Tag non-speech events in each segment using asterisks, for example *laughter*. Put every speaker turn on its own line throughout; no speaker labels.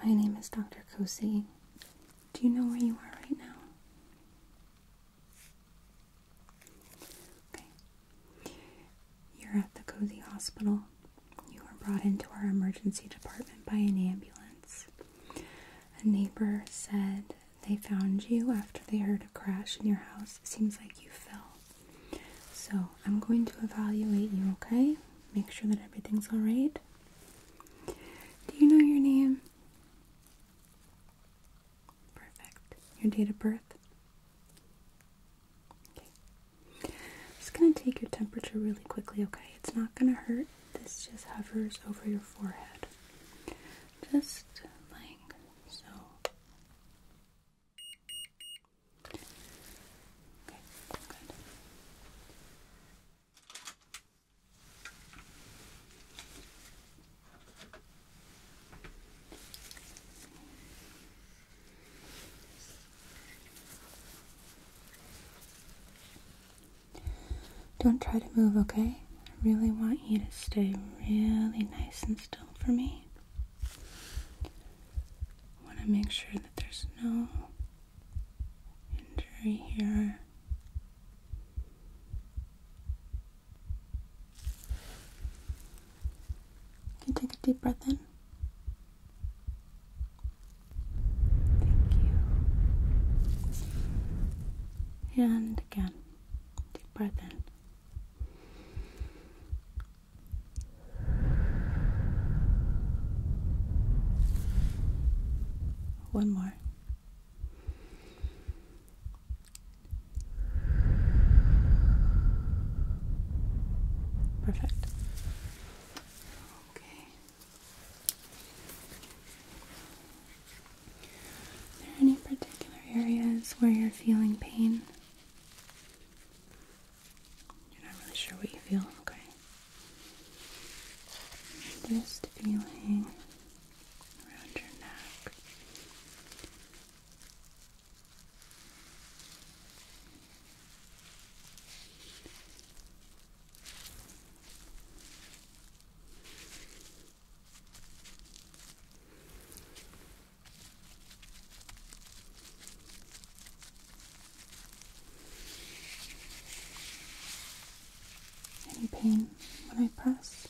Hey, my name is Dr. Kosi. Do you know where you are right now? Okay. You're at the Cozy Hospital. You were brought into our emergency department by an ambulance. A neighbor said they found you after they heard a crash in your house. It seems like you fell. So I'm going to evaluate you, okay? Make sure that everything's alright. Do you know your name? Perfect. Your date of birth? Okay. just going to take your temperature really quickly, okay? It's not going to hurt. This just hovers over your forehead. Just like so. Okay, good. Don't try to move, okay? I really want you to stay really nice and still for me. I want to make sure that there's no injury here. You can take a deep breath in. Thank you. And again, deep breath in. One more. Perfect. Okay. Are there any particular areas where you're feeling pain? You're not really sure what you feel, okay? Just feeling around your neck. Any pain when I press?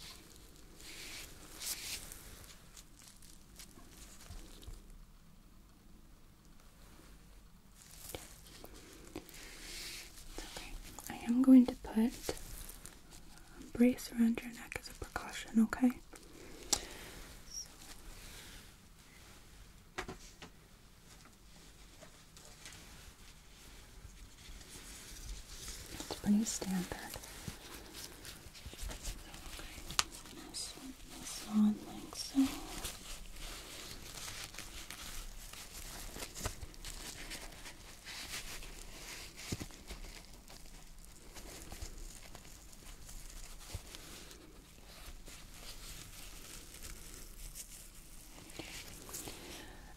Okay, I am going to put a brace around your neck as a precaution, okay? It's pretty standard.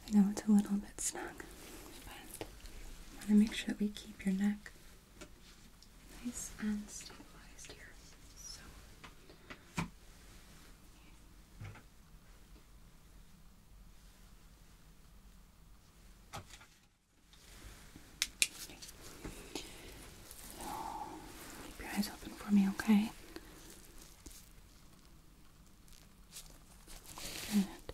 I know it's a little bit snug, but I want to make sure that we keep your neck nice and stabilized here. So keep your eyes open for me, okay? Good.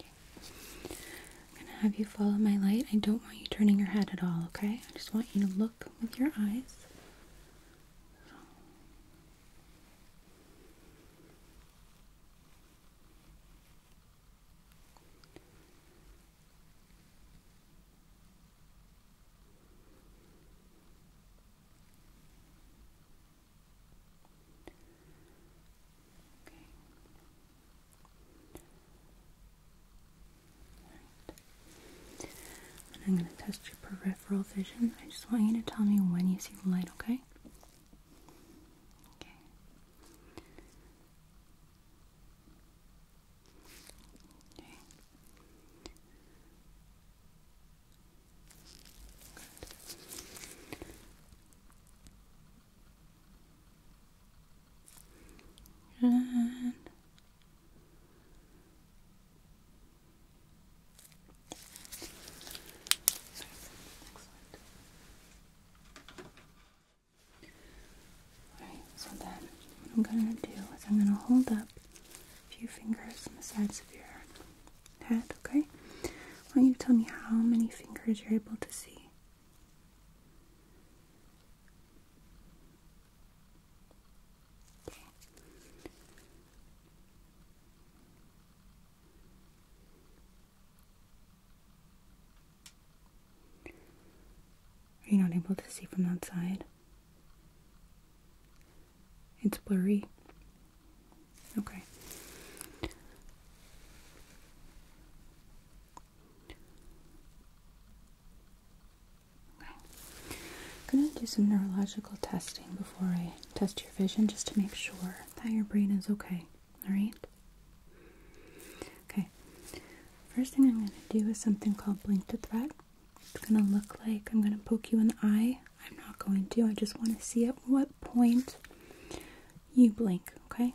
I'm gonna have you follow my light. I don't want you turning your head at all, okay? I just want you to look with your eyes. I'm going to test your peripheral vision. I just want you to tell me when you see the light, okay? And Alright, so then what I'm going to do is I'm going to hold up a few fingers on the sides of your head, okay? I want you tell me how many fingers you're able to see. Are you not able to see from that side? It's blurry. Okay. I'm going to do some neurological testing before I test your vision just to make sure that your brain is okay. Alright? Okay. First thing I'm going to do is something called blink to threat. It's going to look like I'm going to poke you in the eye. I'm not going to. I just want to see at what point you blink, okay?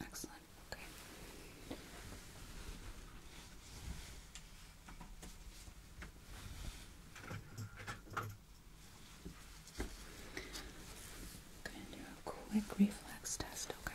Excellent. Okay. going to do a quick reflex test, okay?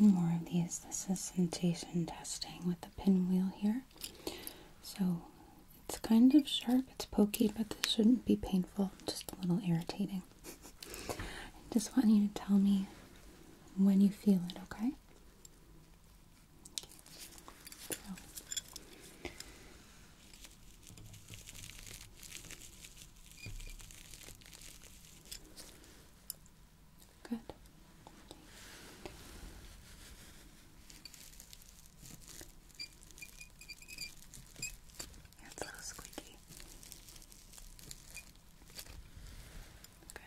One more of these. This is sensation testing with the pinwheel here. So it's kind of sharp, it's pokey, but this shouldn't be painful, just a little irritating. *laughs* I just want you to tell me when you feel it, okay? Okay. So. Good. it's a little squeaky. Good.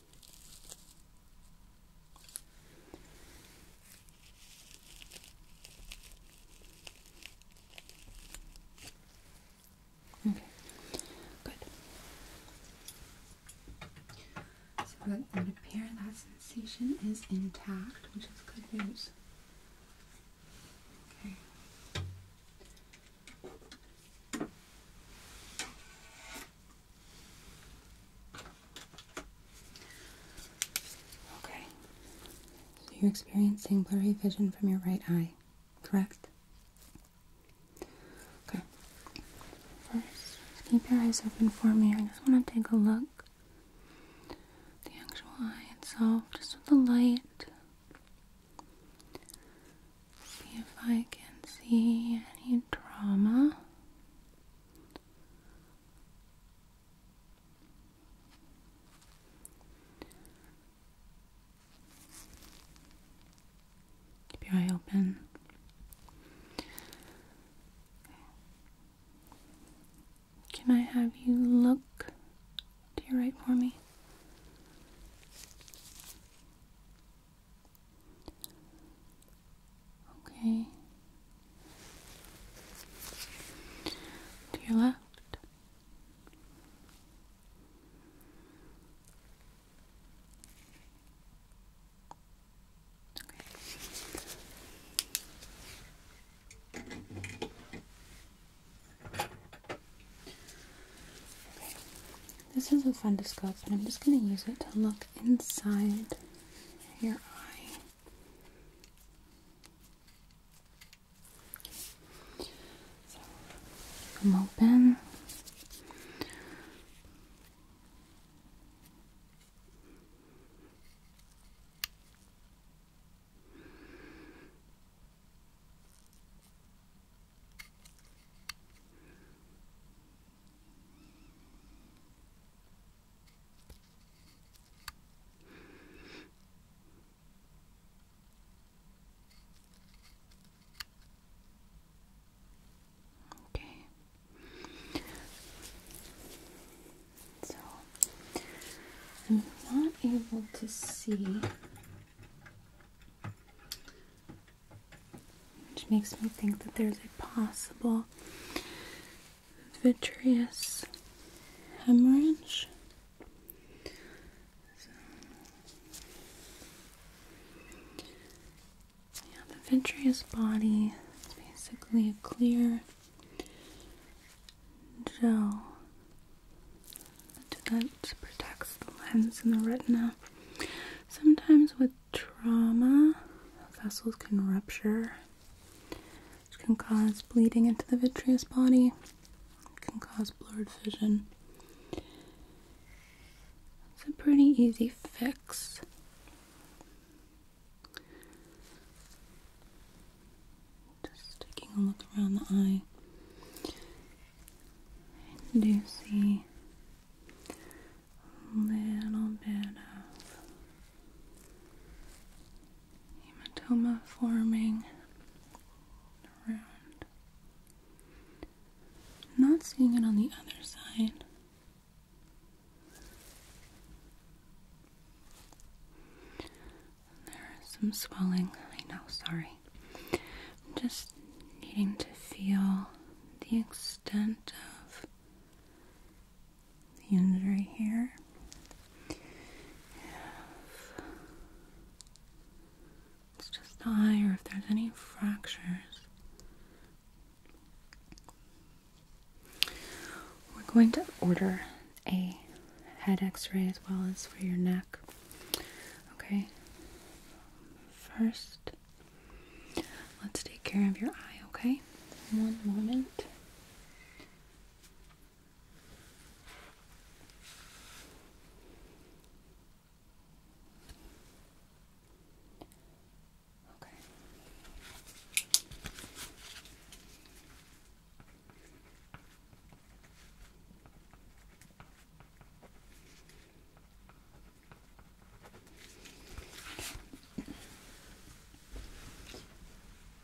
Okay, good. So it would that sensation is intact, which is good news. Okay. Okay. So you're experiencing blurry vision from your right eye, correct? Okay. First, keep your eyes open for me. I just want to take a look at the actual eye itself, just with the light. See if I can see any drama. Keep your eye open. Can I have you look to your right for me? Okay. To your left. Okay. This is a fundoscope, but I'm just going to use it to look inside your eye. So open. Okay. So I'm not able to see which makes me think that there's a possible vitreous hemorrhage. yeah, the vitreous body is basically a clear gel that protects the lens and the retina. Sometimes with trauma. Vessels can rupture, which can cause bleeding into the vitreous body, can cause blurred vision. It's a pretty easy fix. Just taking a look around the eye. I do see little bit of hematoma forming Not seeing it on the other side. There is some swelling. I know, sorry. I'm just needing to feel the extent of the end right here. If it's just the or if there's any fractures, we're going to order a head x ray as well as for your neck. Okay, first Let's take care of your eye, okay? One moment. Okay.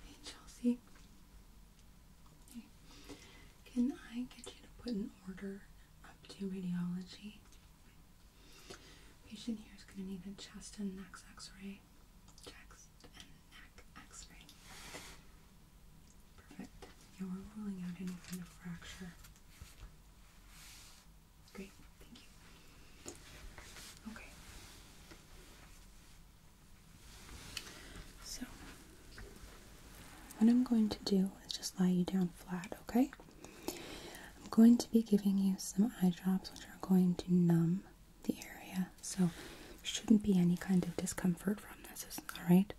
Hey Chelsea, can I get you to put an order up to radiology? Patient here is going to need a chest and neck X-ray, chest and neck X-ray. Perfect. Yeah, are ruling out any kind of fracture. Great, thank you. Okay. So, what I'm going to do is just lie you down flat, okay? I'm going to be giving you some eye drops which are going to numb the area, so shouldn't be any kind of discomfort from this, alright?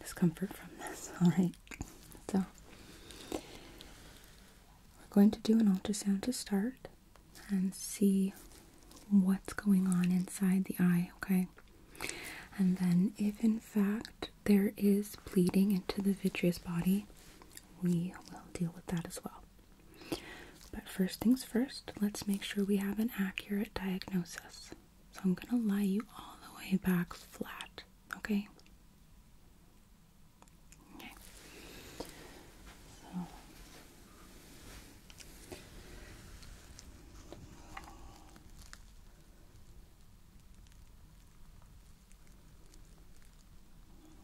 Discomfort from this, *laughs* alright? So, we're going to do an ultrasound to start and see what's going on inside the eye, okay? And then, if in fact there is bleeding into the vitreous body, we will deal with that as well. But first things first, let's make sure we have an accurate diagnosis. So I'm going to lie you all the way back flat, okay? Okay.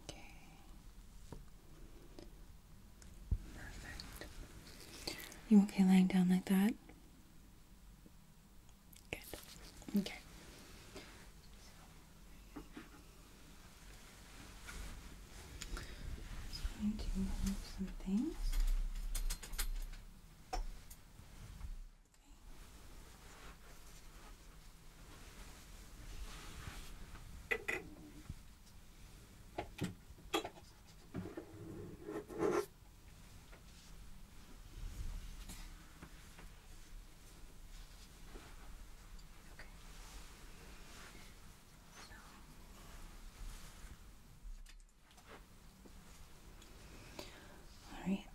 Okay. Perfect. You okay lying down like that? Good. Okay. Just going to move some things. Okay. Okay. So Alright.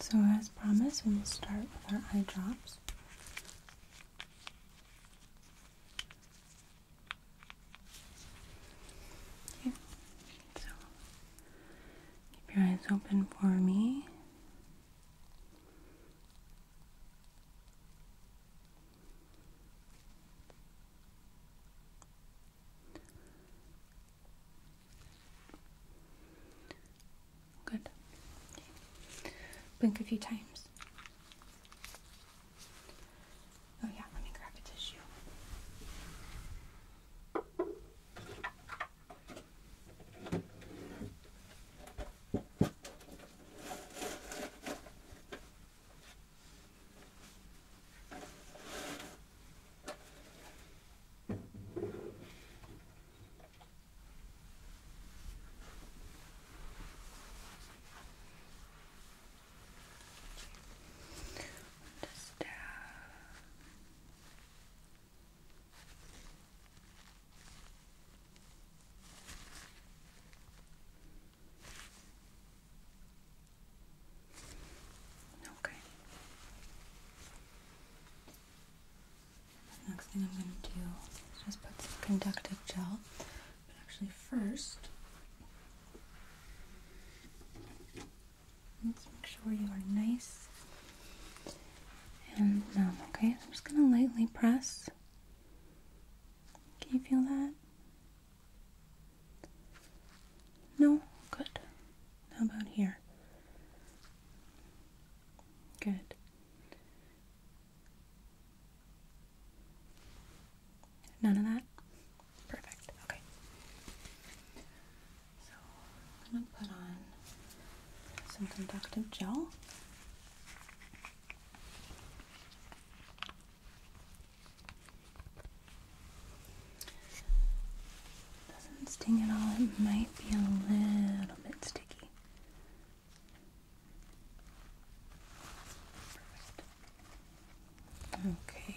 So as promised, we will start with our eye drops. So keep your eyes open for me. Good. Blink a few times. Oh, yeah, let me grab a tissue. Just down. Uh, Okay. next thing I'm going to do is just put some conductive gel, but actually, first, let's make sure you are nice and numb. Okay, I'm just gonna lightly press. Can you feel that? No? Good. How about here? Good. None of that? Perfect. Okay. So I'm going to put on some conductive gel. Doesn't sting at all. It might be a little bit sticky. Perfect. Okay.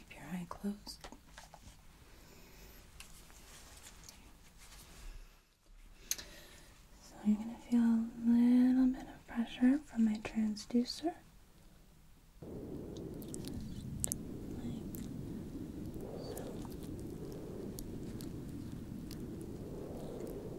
Keep your eye closed. So you're going to feel a little bit of pressure from my transducer.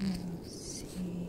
We'll see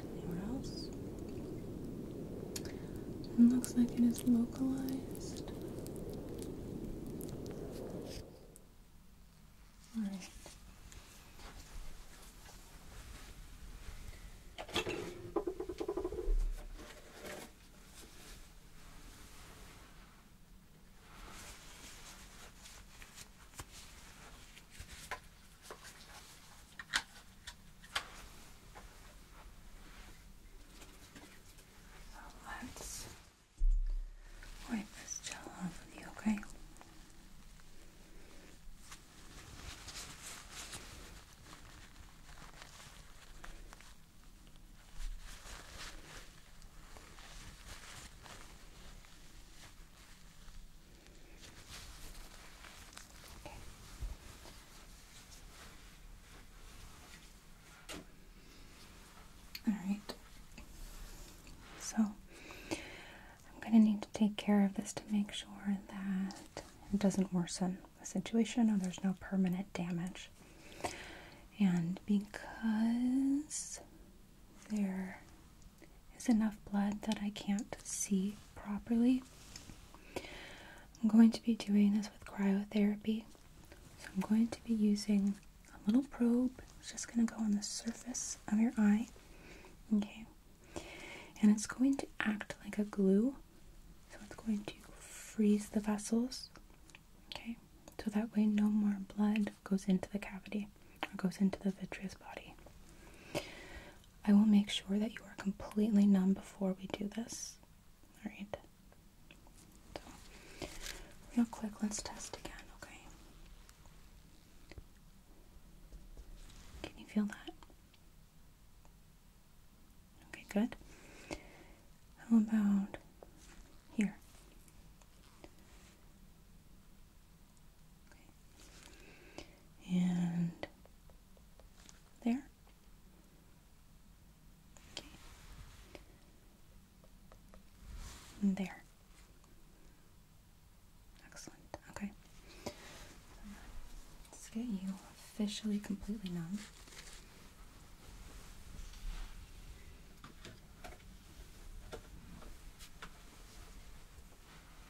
anywhere else. looks like it is localized. Alright. So let's wipe this gel off of you, Okay. All right. So I'm going to need to take care of this to make sure that it doesn't worsen the situation or there's no permanent damage. And because there is enough blood that I can't see properly. I'm going to be doing this with cryotherapy. So I'm going to be using a little probe. It's just going to go on the surface of your eye. Okay. And it's going to act like a glue. So it's going to freeze the vessels. Okay. So that way no more blood goes into the cavity or goes into the vitreous body. I will make sure that you are completely numb before we do this. Alright. So, real quick, let's test again, okay? Can you feel that? Okay, good. How about here? And there. Okay. there. Excellent. Okay. let's get you officially completely numb.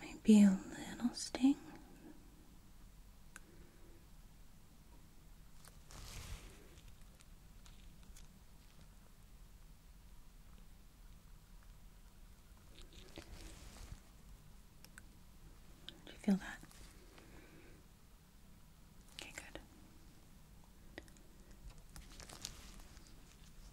Maybe a little sting. Do you feel that? Okay, good.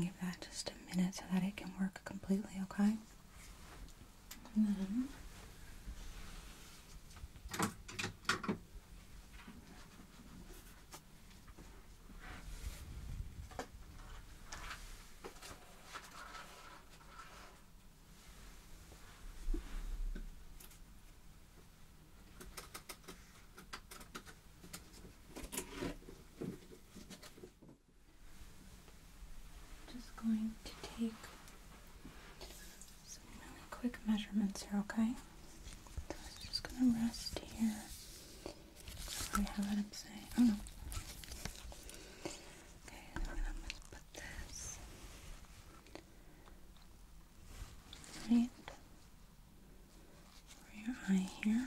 Give that just a minute so that it can work completely, okay? Mm-hmm. Just going to take some really quick measurements here, okay? So it's just gonna rest here. We have it upside. Oh no. Okay, I'm gonna put this right over your eye here.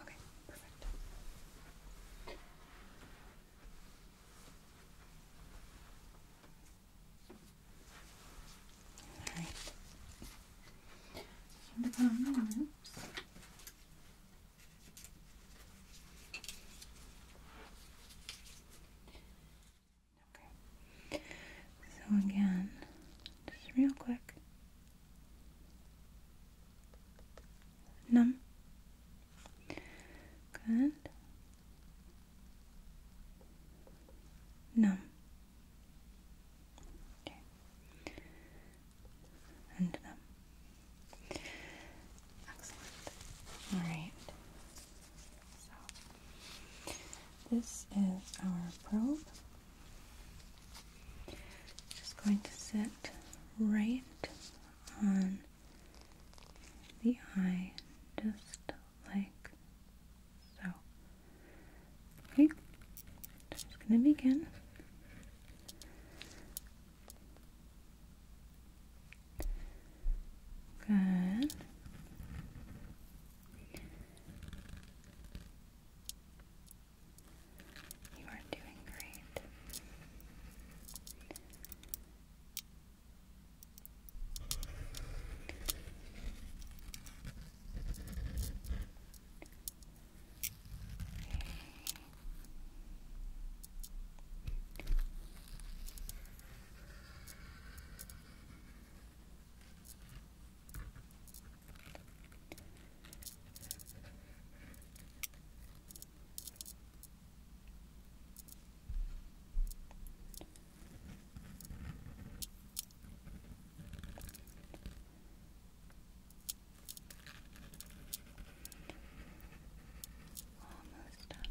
Okay, perfect. All right. And upon my lips. Okay. So again, just real quick. Num. Good. Num. Okay. And num. Excellent. All right. So this is our probe. Just going to sit right on the eye, just like so. Okay, just going to begin. Good. You are doing great. Almost done. Almost done.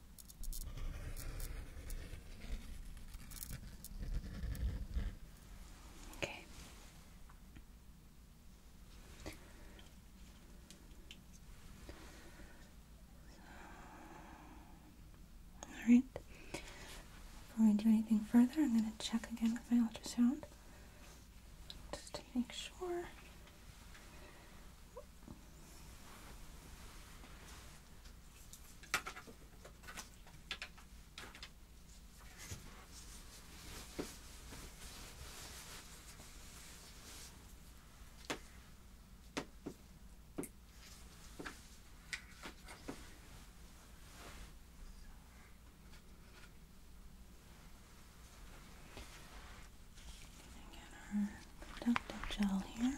Okay. all right. Before we do anything further, I'm going to check again with my ultrasound just to make sure. Again, our conductive gel here.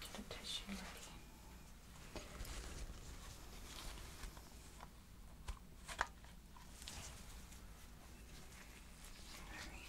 Get the tissue ready. All right.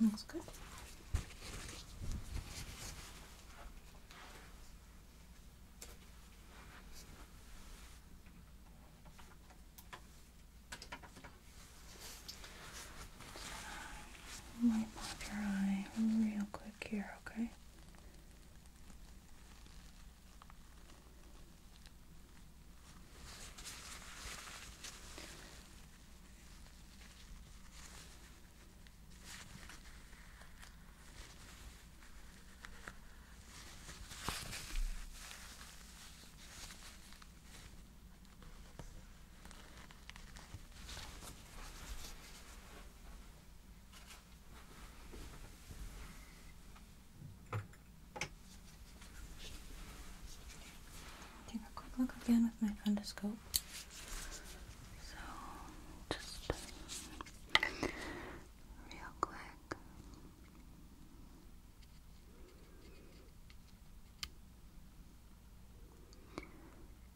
Looks good. Wipe off your eye real quick here, okay? Take a quick look again with my fundus helpful. So just um, real quick. Good.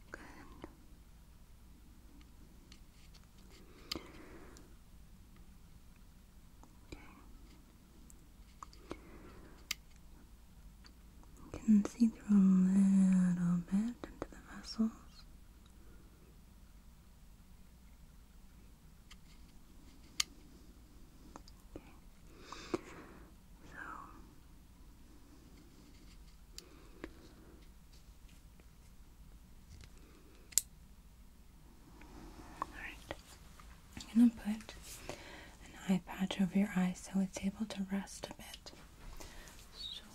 Okay. You can see through a little bit into the vessels. Okay. So Alright. I'm gonna put an eye patch over your eye so it's able to rest a bit. So let's grab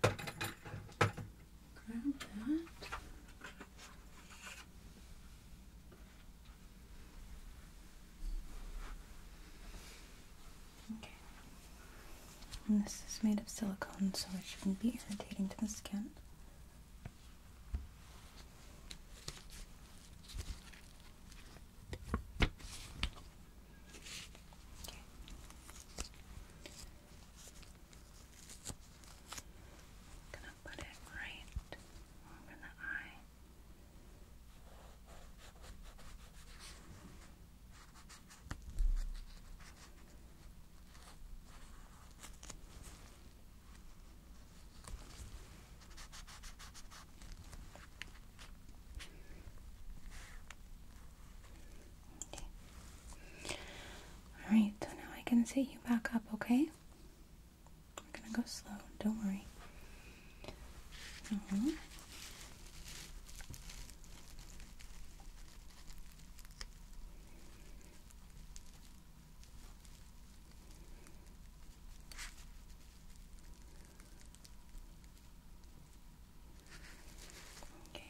that. Okay. this is made of silicone, so it shouldn't be irritating to the skin. Okay. i gonna put it right over the eye. Alright, so now I can set you back up, okay? We're gonna go slow, don't worry. Okay.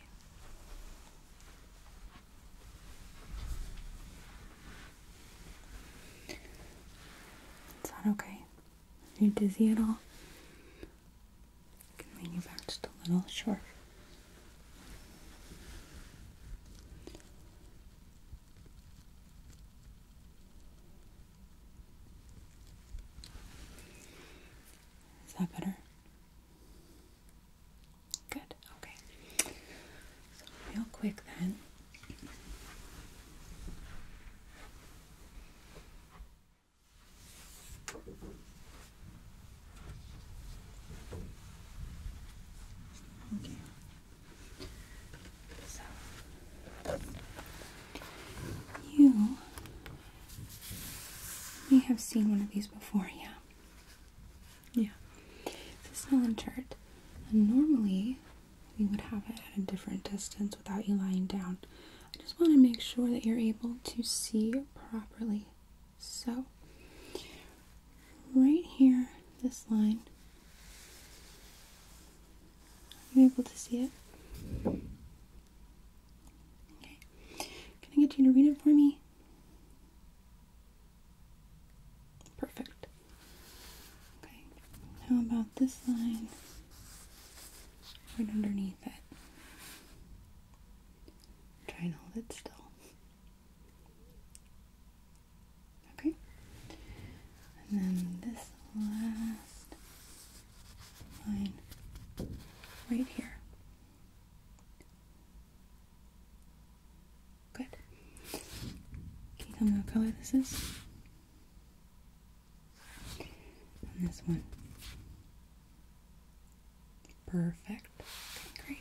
Is okay? Are you dizzy at all? can lean you back just a little, sure. Is that better? Good, okay. real quick then. Okay. So you may have seen one of these before, yeah. Yeah. This is a silent chart. And normally we would have it at a different distance without you lying down. I just want to make sure that you're able to see properly. So right here, this line are you able to see it? Okay. Can I get you to read it for me? Perfect. Okay. How about this line right underneath it? Try and hold it still. Okay. And then this last line right here. Good. Can you tell me what color this is? this one. Perfect. great.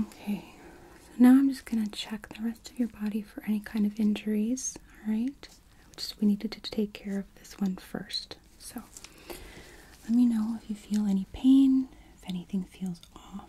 Okay, so now I'm just gonna check the rest of your body for any kind of injuries. All right, we needed to take care of this one first. So let me know if you feel any pain, if anything feels off.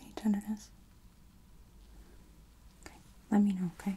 Any tenderness? Okay, let me know, okay?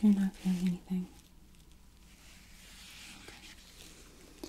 you're not feeling anything. Okay.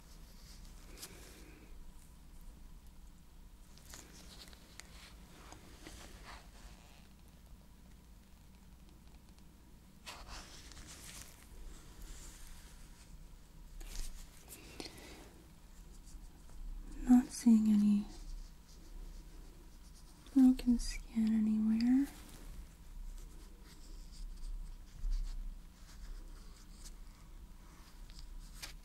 Not seeing any broken skin anywhere.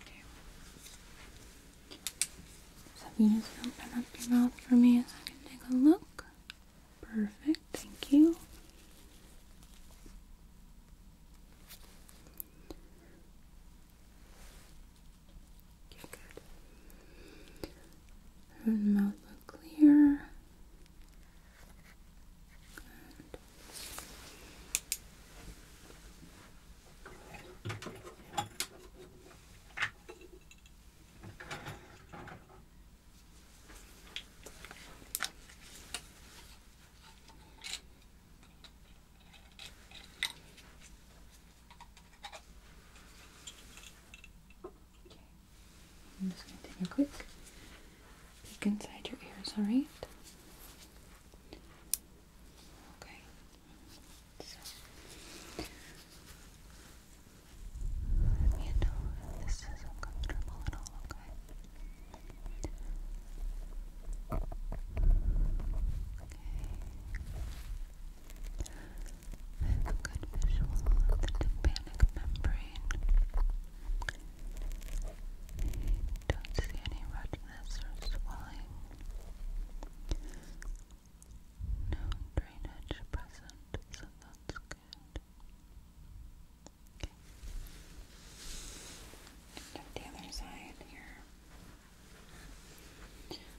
Okay. So if you just open up your mouth for me so I can take a look. Perfect, thank you. Okay, good. And mouth look clear. I'm just going to take a quick peek inside your ears, alright? Okay. So let know this is uncomfortable at all, okay? Okay. good visual of the tympanic membrane. don't see any redness or swelling. No drainage present, so that's good. Okay. the other side here.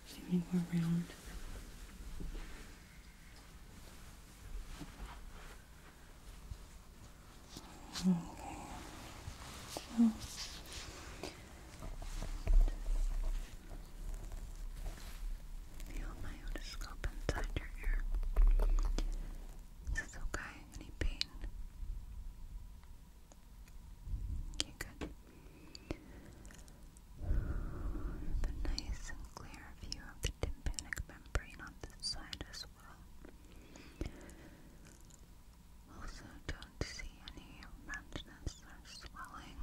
So you go around. Okay. So Feel my otoscope inside your ear. Is this okay? Any pain? Okay, good. Have nice and clear view of the tympanic membrane on this side as well. Also, don't see any redness or swelling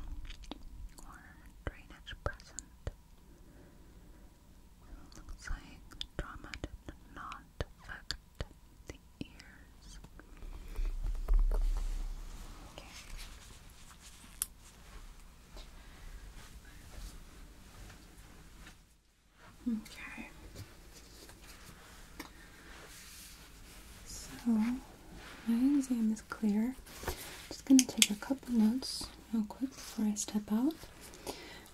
or drainage present. looks like trauma did not affect the ears. Okay. So my exam is clear. Just gonna take a couple notes real quick before I step out.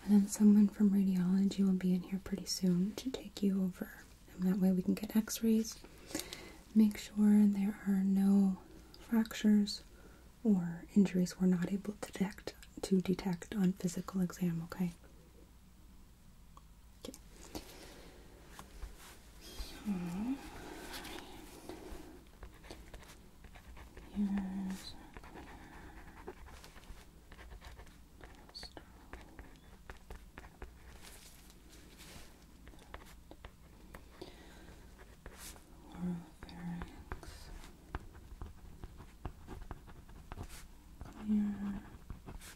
And then someone from radiology will be in here pretty soon to take you over. And that way we can get x-rays. Make sure there are no fractures or injuries we're not able to detect on physical exam, okay? Okay. So, Here's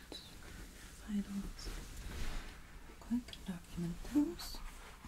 vitals. Quick, document those. Okay.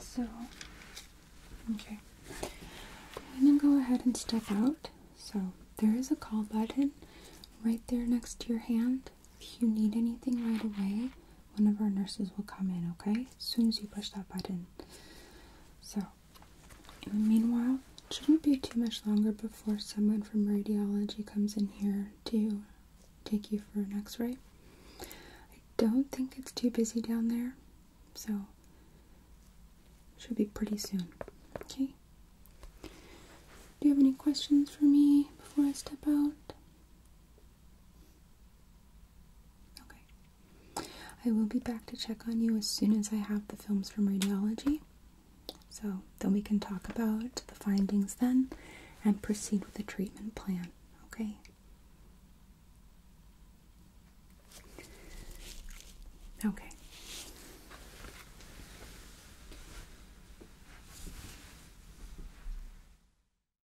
so, okay. I'm going to go ahead and step out. So, there is a call button right there next to your hand. If you need anything right away, one of our nurses will come in, okay? As soon as you push that button. So, in the meanwhile, shouldn't be too much longer before someone from radiology comes in here to take you for an x ray. I don't think it's too busy down there, so should be pretty soon, okay? Do you have any questions for me before I step out? Okay. I will be back to check on you as soon as I have the films from radiology. So then we can talk about the findings then and proceed with the treatment plan. Okay. Okay.